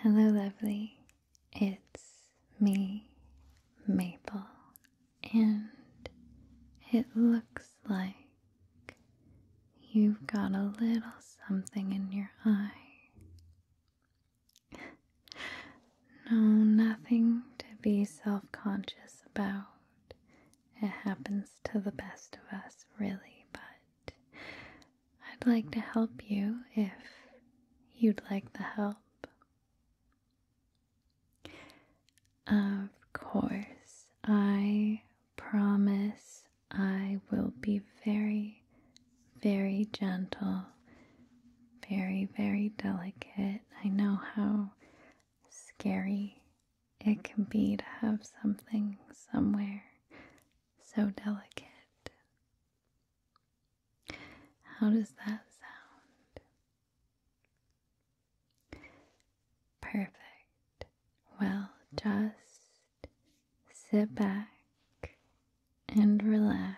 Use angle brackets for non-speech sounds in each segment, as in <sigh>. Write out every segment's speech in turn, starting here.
Hello, lovely. It's me, Maple, and it looks like you've got a little something in your eye. no, nothing to be self conscious about. It happens to the best of us, really, but I'd like to help you if you'd like the help. Of course, I promise I will be very, very gentle, very, very delicate. I know how scary it can be to have something somewhere so delicate. How does that sound? Perfect. Well, just sit back and relax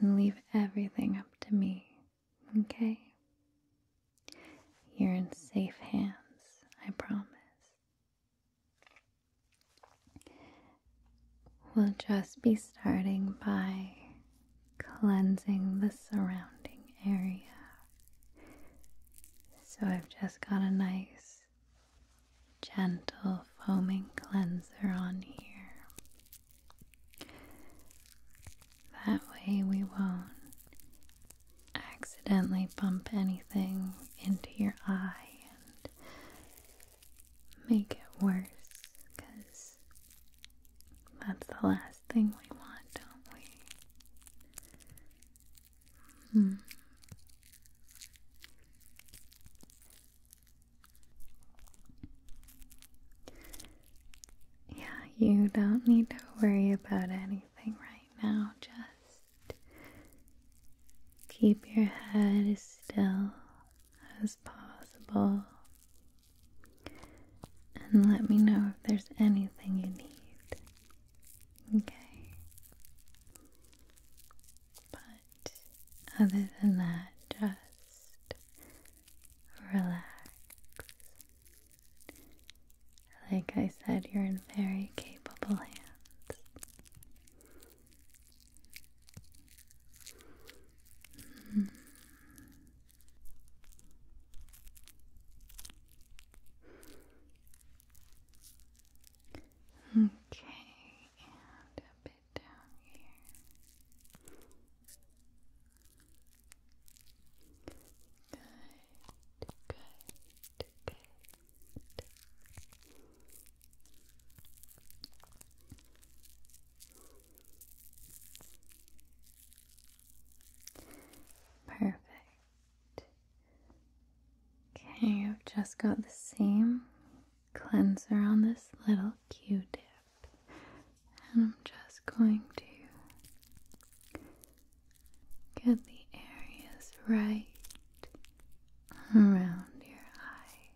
and leave everything up to me, okay? You're in safe hands, I promise. We'll just be starting by cleansing the surrounding area. So I've just got a nice, gentle foaming cleanser on here. That way we won't accidentally bump anything into your eye and make it worse, because that's the last thing we want, don't we? Hmm. Yeah, you don't need to worry about anything right now. Just keep your head as still as possible and let me know if there's anything you need. Okay. But other than that, just relax. Like I said, you're in very capable hands. Hmm. Okay, Good, good, good. Perfect. Okay, I've just got the same cleanser on this little Q-tip, and I'm just going to Get the areas right around your eyes.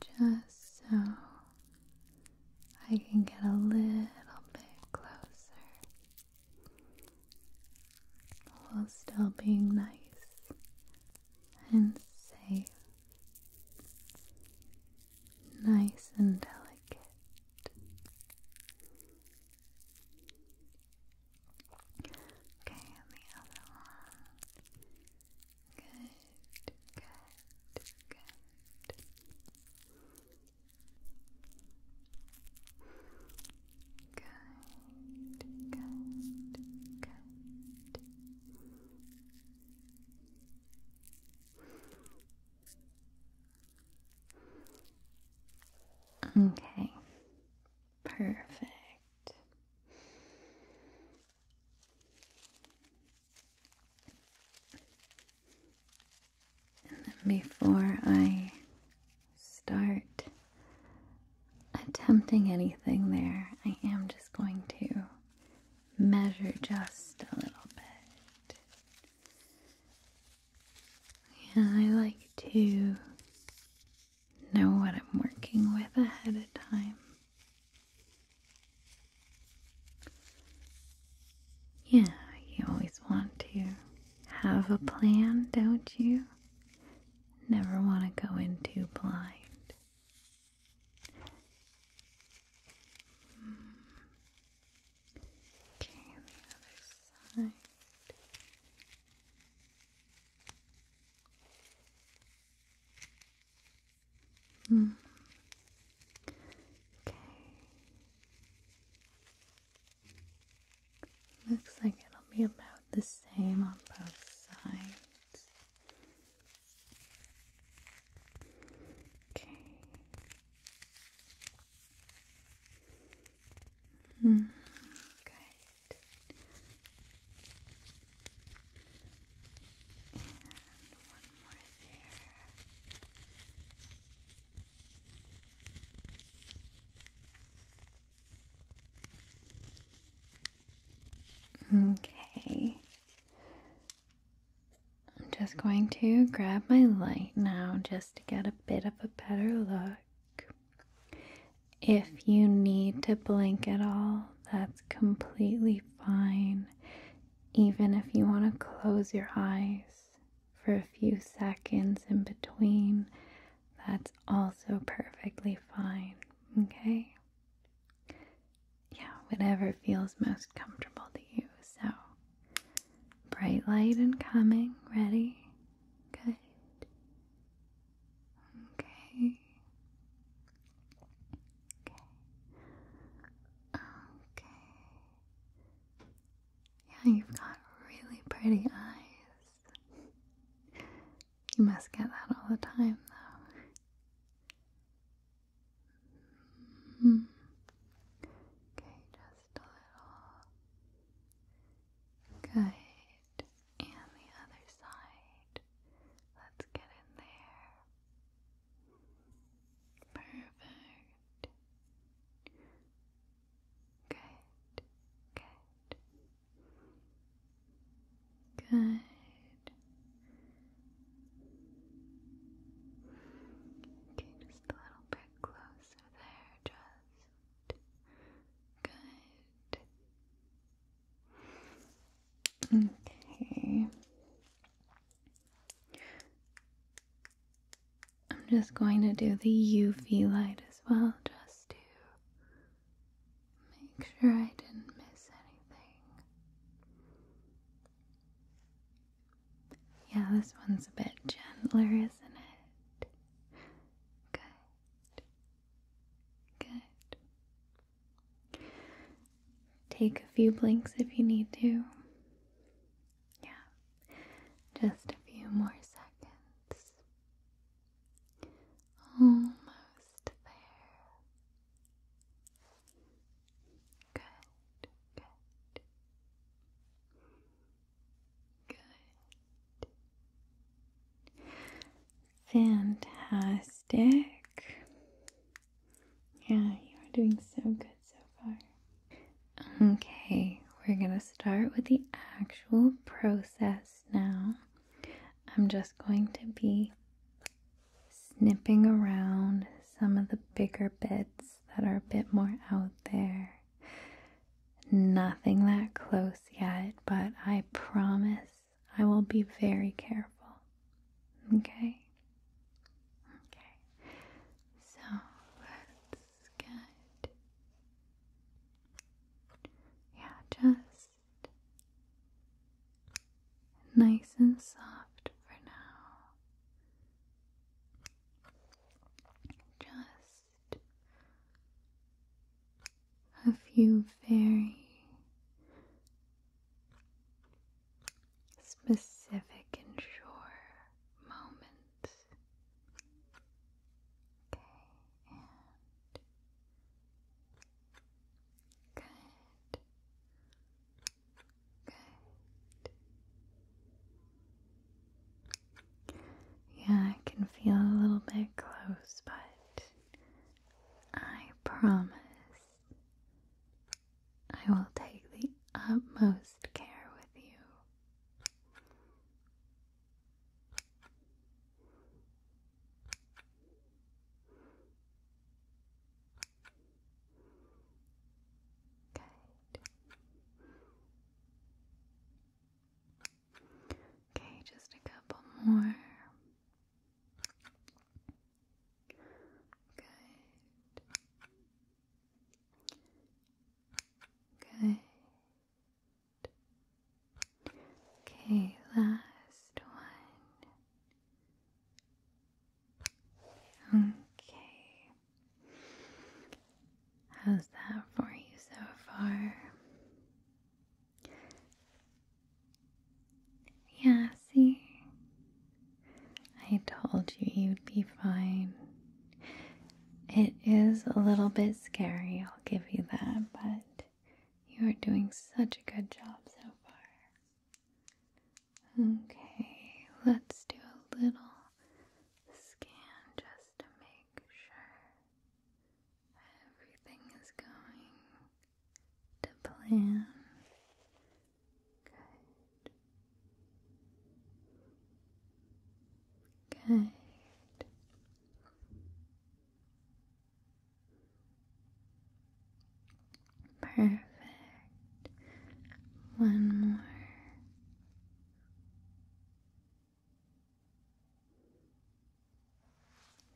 Just so I can get a little bit closer while still being nice and safe nice and delicate. Okay, and the other one. Good, good, good. Good, good, good. Okay, perfect. before I start attempting anything there, I am just going to measure just a little bit. yeah. I like to know what I'm working with ahead of time. Yeah, you always want to have a plan, don't you? Never want to go in too blind. Okay, the other side. Mm. Okay. Looks like it'll be about the same on both sides. Mm, okay. Mm, good. And one more there. Okay, I'm just going to grab my light now just to get a bit of a better look. If you need to blink at all, that's completely fine. Even if you want to close your eyes for a few seconds in between, that's also perfectly fine. Okay? yeah, whatever feels most comfortable to you. So, bright light and coming, ready? Good. Okay. Okay. Okay. Yeah, you've got really pretty eyes. You must get that all the time, though. Hmm. Okay, just a little. Good. And the other side. Let's get in there. Perfect. Good. Good. Good. Okay, just a little bit closer there, just good. Okay. I'm just going to do the UV light as well, just to Make sure I didn't miss anything. Yeah, this one's a bit gentler, isn't it? Good. Good. Take a few blinks if you need to. Yeah, just a few more seconds. Almost Good, good. Good. Fantastic. Yeah, you are doing so good so far. Okay, we're going to start with the actual process now. I'm just going to be snipping around some of the bigger bits that are a bit more out there. Nothing that close yet, but I promise I will be very careful. Okay? Okay. So that's good. Yeah, just nice and soft for now. Just a few very specific and sure moments. Okay, Good. Good. Yeah, I can feel a little bit close, but I promise I will take the utmost care with you. Good. Okay, just a couple more. Good. Good. Okay, last one. Okay. How's that for you so far? Yeah, see? I told you you'd be fine. It is a little bit scary, I'll give you that, but you are doing such a good job so far. Okay, let's do a little scan just to make sure everything is going to plan. Good. Good. Perfect. One more.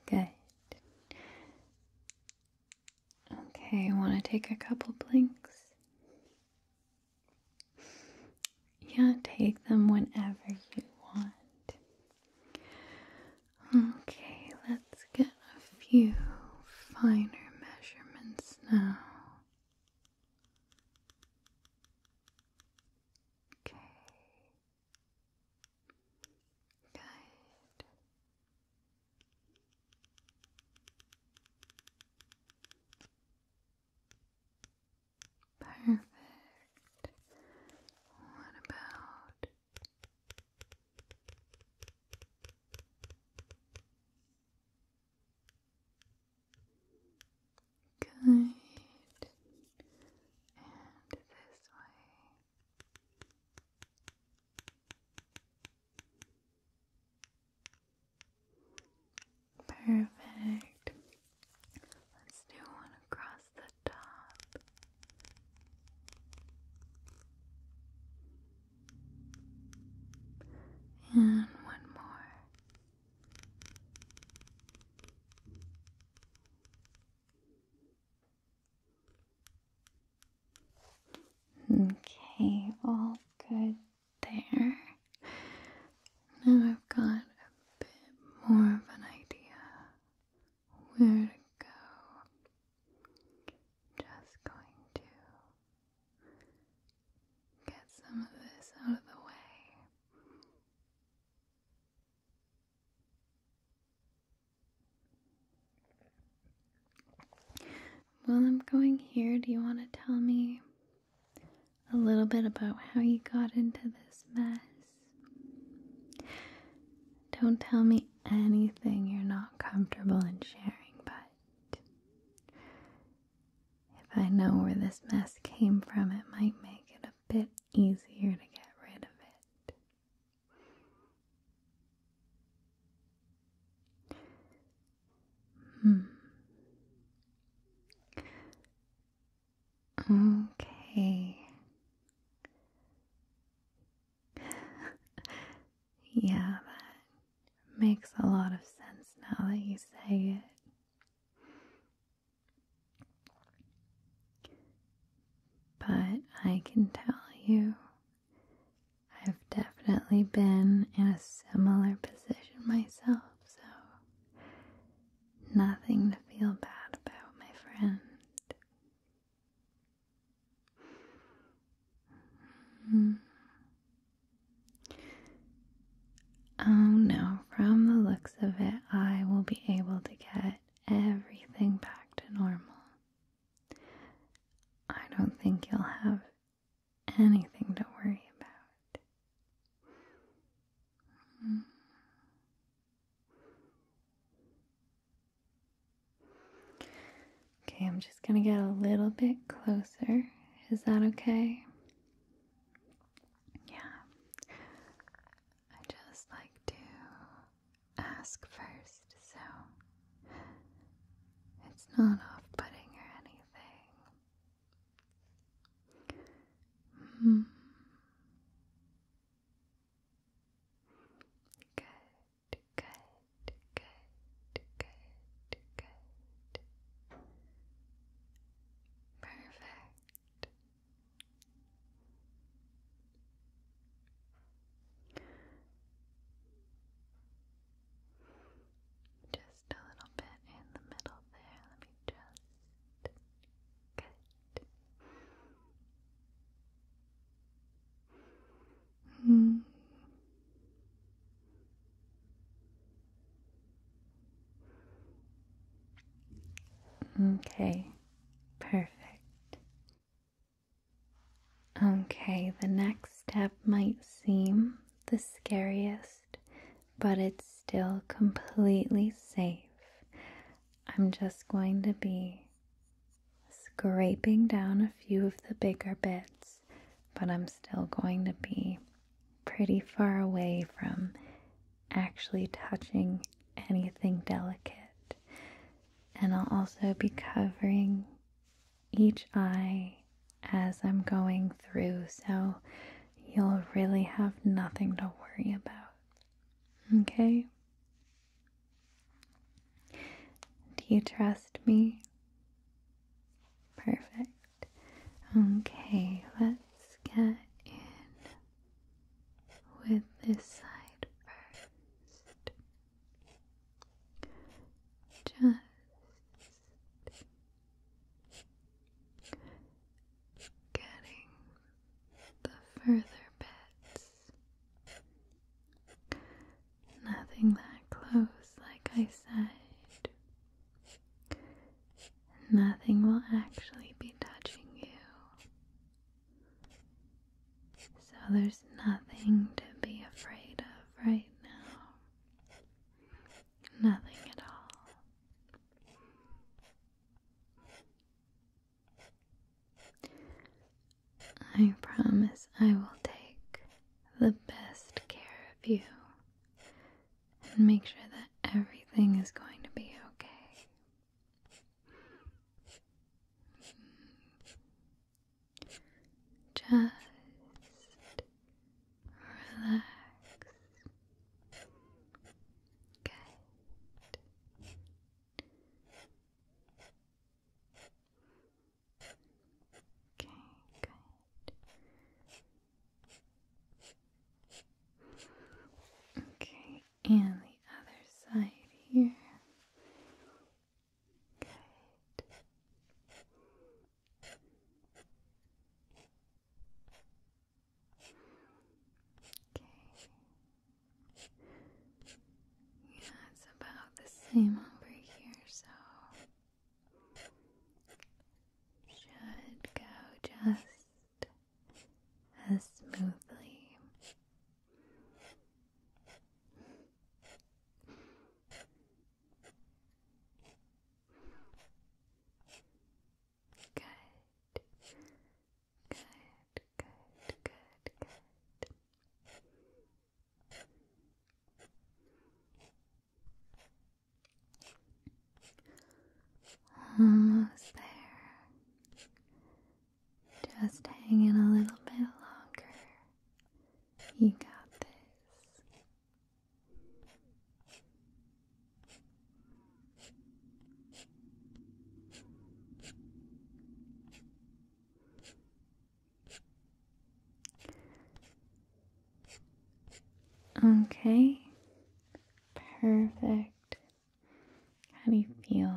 Good. Okay, I want to take a couple blinks. Yeah, take them whenever you want. Okay, let's get a few finer measurements now. Okay. Good. Perfect. What about Good. And this way. Perfect. Let's do one across across And one more. Okay, all good there. Now I've got a bit more of an idea where to go. Just going to get some of this out of the way. While I'm going here, do you want to tell me a little bit about how you got into this mess? Don't tell me anything you're not comfortable in sharing, but if I know where this mess came from, it might make it a bit easier to get rid of it. Hmm. Okay. <laughs> yeah, that makes a lot of sense now that you say it. But I can tell you, I've definitely been in a similar position myself, so nothing to feel bad about, my friend. Hmm. Oh no, from the looks of it, I will be able to get everything back to normal. I don't think you'll have anything to worry about. Hmm. Okay, I'm just going to get a little bit closer. Is that okay? Yeah. I just like to ask first, so it's not off putting or anything. Hmm. Good, good, good, good, good. Perfect. Just a little bit in the middle there. Let me just. Good. Hmm. Okay, perfect. Okay, the next step might seem the scariest, but it's still completely safe. I'm just going to be scraping down a few of the bigger bits, but I'm still going to be pretty far away from actually touching anything delicate. And I'll also be covering each eye as I'm going through, so you'll really have nothing to worry about. Okay? Do you trust me? Perfect. Okay, let's get in with this side first. Just getting the further bits Nothing that close, like I said. Nothing will actually be touching you. So there's nothing to be afraid of right now. Nothing at all. I promise I will take the best care of you and make sure that everything is going to be okay. Just relax. Good. Okay, good. Okay, and the other side here. Okay. Yeah, it's about the same over here, so should go just as smoothly. Good. Good, good, good, good. Almost there. Just hanging a little bit longer. You got this. Okay, perfect. How do you feel?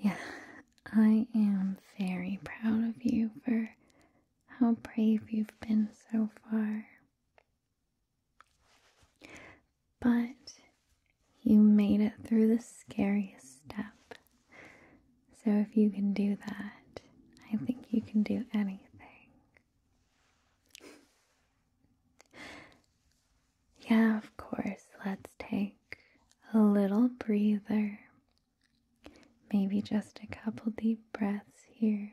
Yeah, I am very proud of you for how brave you've been so far. But you made it through the scariest step. So if you can do that, I think you can do anything. Yeah, of course, let's take a little breather. Maybe just a couple deep breaths here.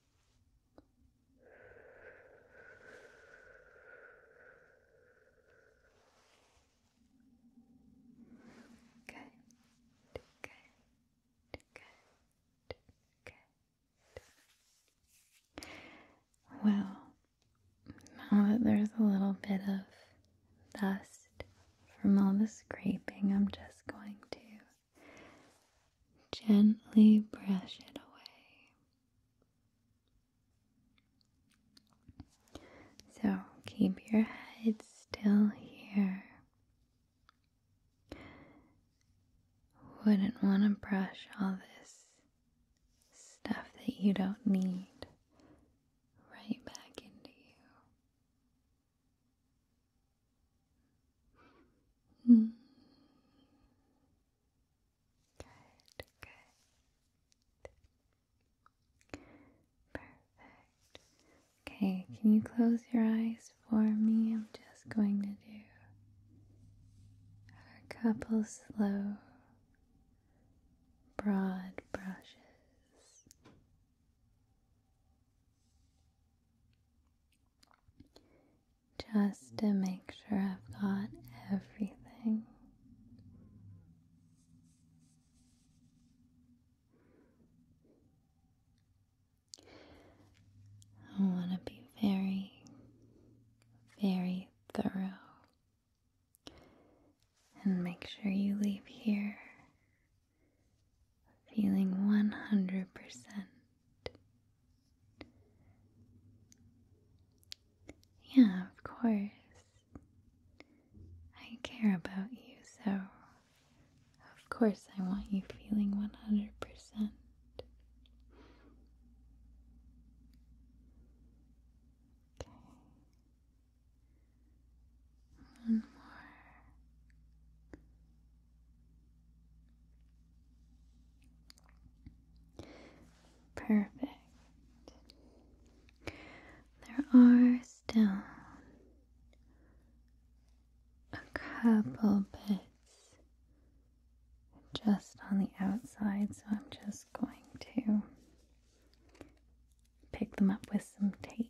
Good, good, good, good. Well, now that there's a little bit of dust from all the scraping, I'm just going to gently brush it away. So keep your head still here. Wouldn't want to brush all this stuff that you don't need right back into you. Hmm. Good, good. Perfect. Okay, can you close your eyes for me? I'm just going to do a couple slow, broad brushes just to make sure I've got everything. I want to be very, very thorough and make sure you leave here feeling 100% yeah, of course. I care about you, so of course I want you feeling 100%. Okay. One more. Perfect. There are still a couple bits just on the outside, so I'm just going to pick them up with some tape.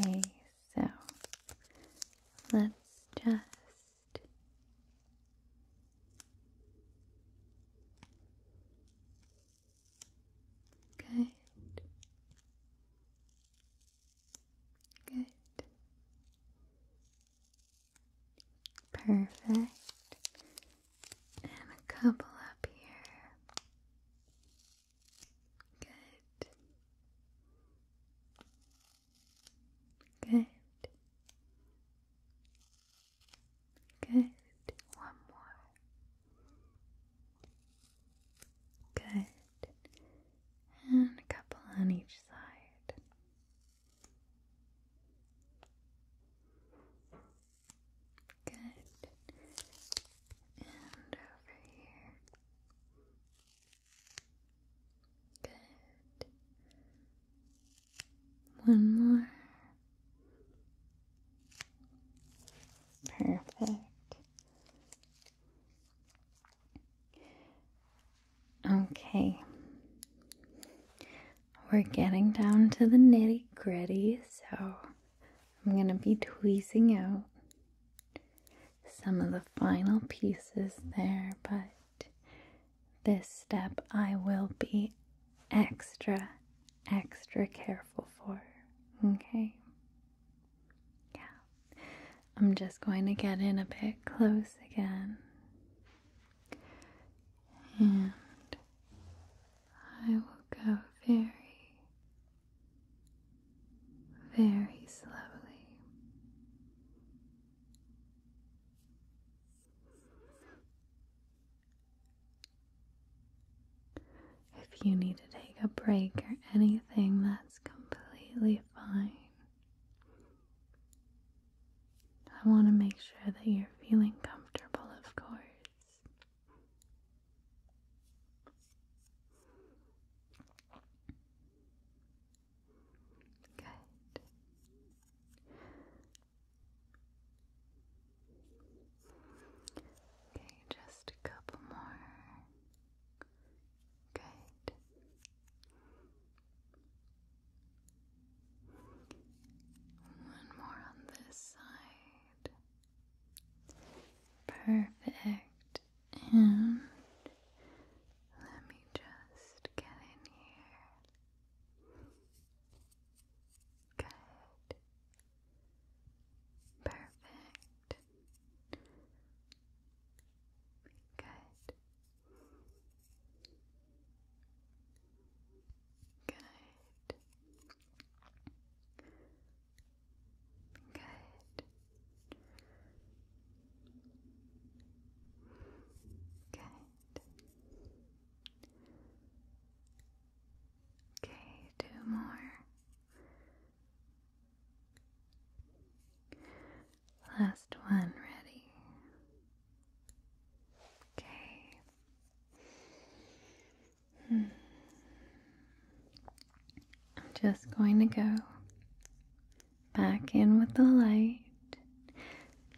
Okay, so let's just good, good, perfect. And a couple up here. Good. Good. Good. One more. Good. And a couple on each side. Good. And over here. Good. One more. Perfect. Okay we're getting down to the nitty gritty, so I'm going to be tweezing out some of the final pieces there, but this step I will be extra, extra careful for. Okay? Yeah. I'm just going to get in a bit close again. And I will go very, very slowly. If you need to take a break or anything, that's completely fine. I want to make sure that you're feeling comfortable, of course. Good. Okay, just a couple more. Good. One more on this side. Perfect. And let me just get in here. Good. Perfect. Good. Good. Good. Good. Okay, two more. Last one ready. Okay. I'm just going to go back in with the light,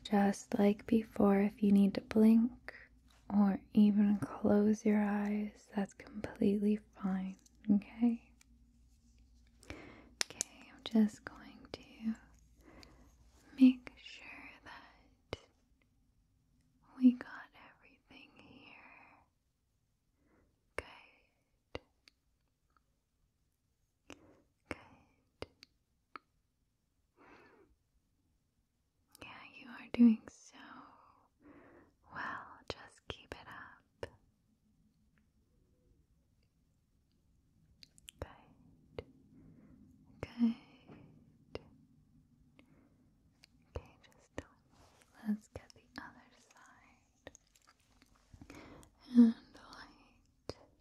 just like before. If you need to blink or even close your eyes, that's completely fine, okay? Okay, I'm just going to make sure that we got everything here. Good. Good. Yeah, you are doing so well. Just keep it up. Good. Good. Okay, just do it. Let's get the other side. And light. Good.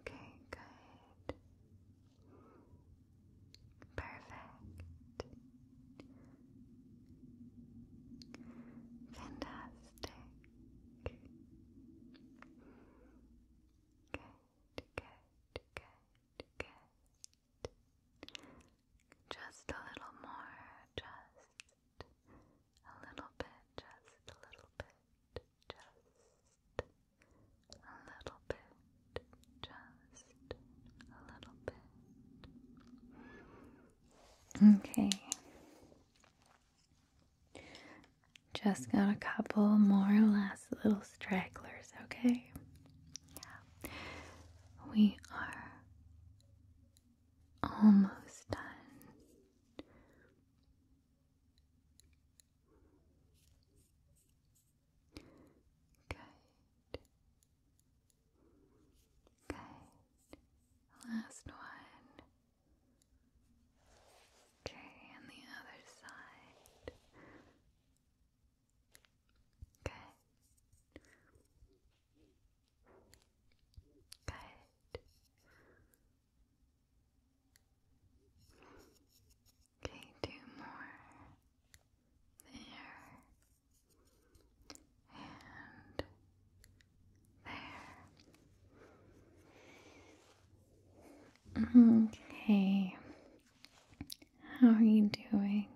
Okay, good. Perfect. Fantastic. Good. Good, good, good. Just a little more, just a little bit, just a little bit, just a little bit, just a little bit. Okay. Just got a couple more or less little stragglers, okay? We are almost done. Okay, Good. Last one. Okay, and the other side. Okay. Good. Okay, two more. There. And Okay. How are you doing?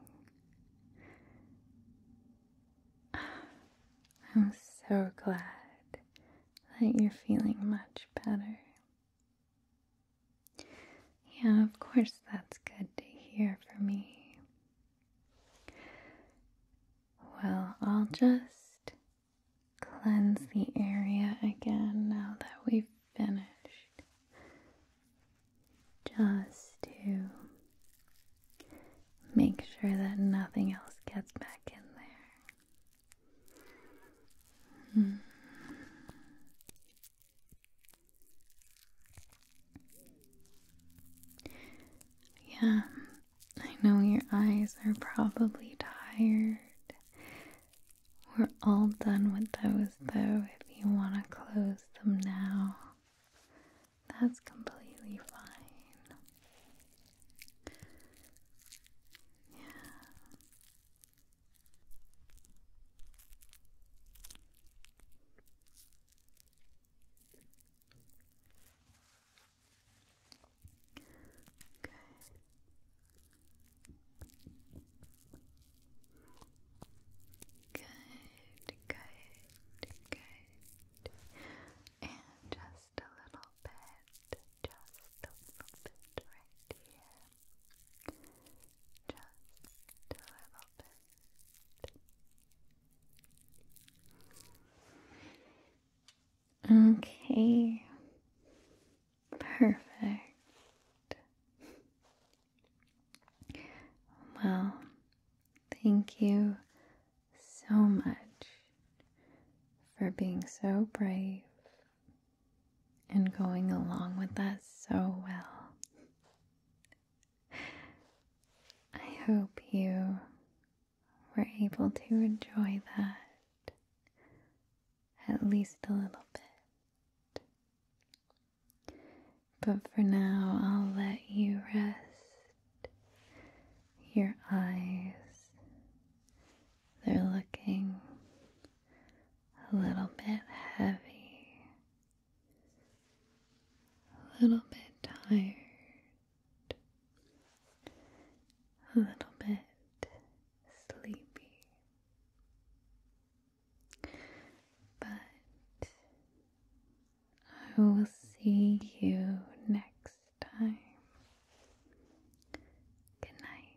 I'm so glad that you're feeling much better. Yeah, of course, that's good to hear for me. Well, I'll just cleanse the area again now that we've finished. Just to make sure that nothing else gets back in there. Hmm. Yeah, I know your eyes are probably tired. We're all done with those though, if you want to close them now. That's completely fine. Yeah. Okay. Good, good, good. And just a little bit, just a little bit right here. Just a little bit. Okay. Perfect. Well, thank you so much for being so brave and going along with us so well. I hope you we're able to enjoy that at least a little bit. But for now, I'll let you rest your eyes. They're looking a little bit heavy, a little bit tired a little bit sleepy, but I will see you next time. Good night.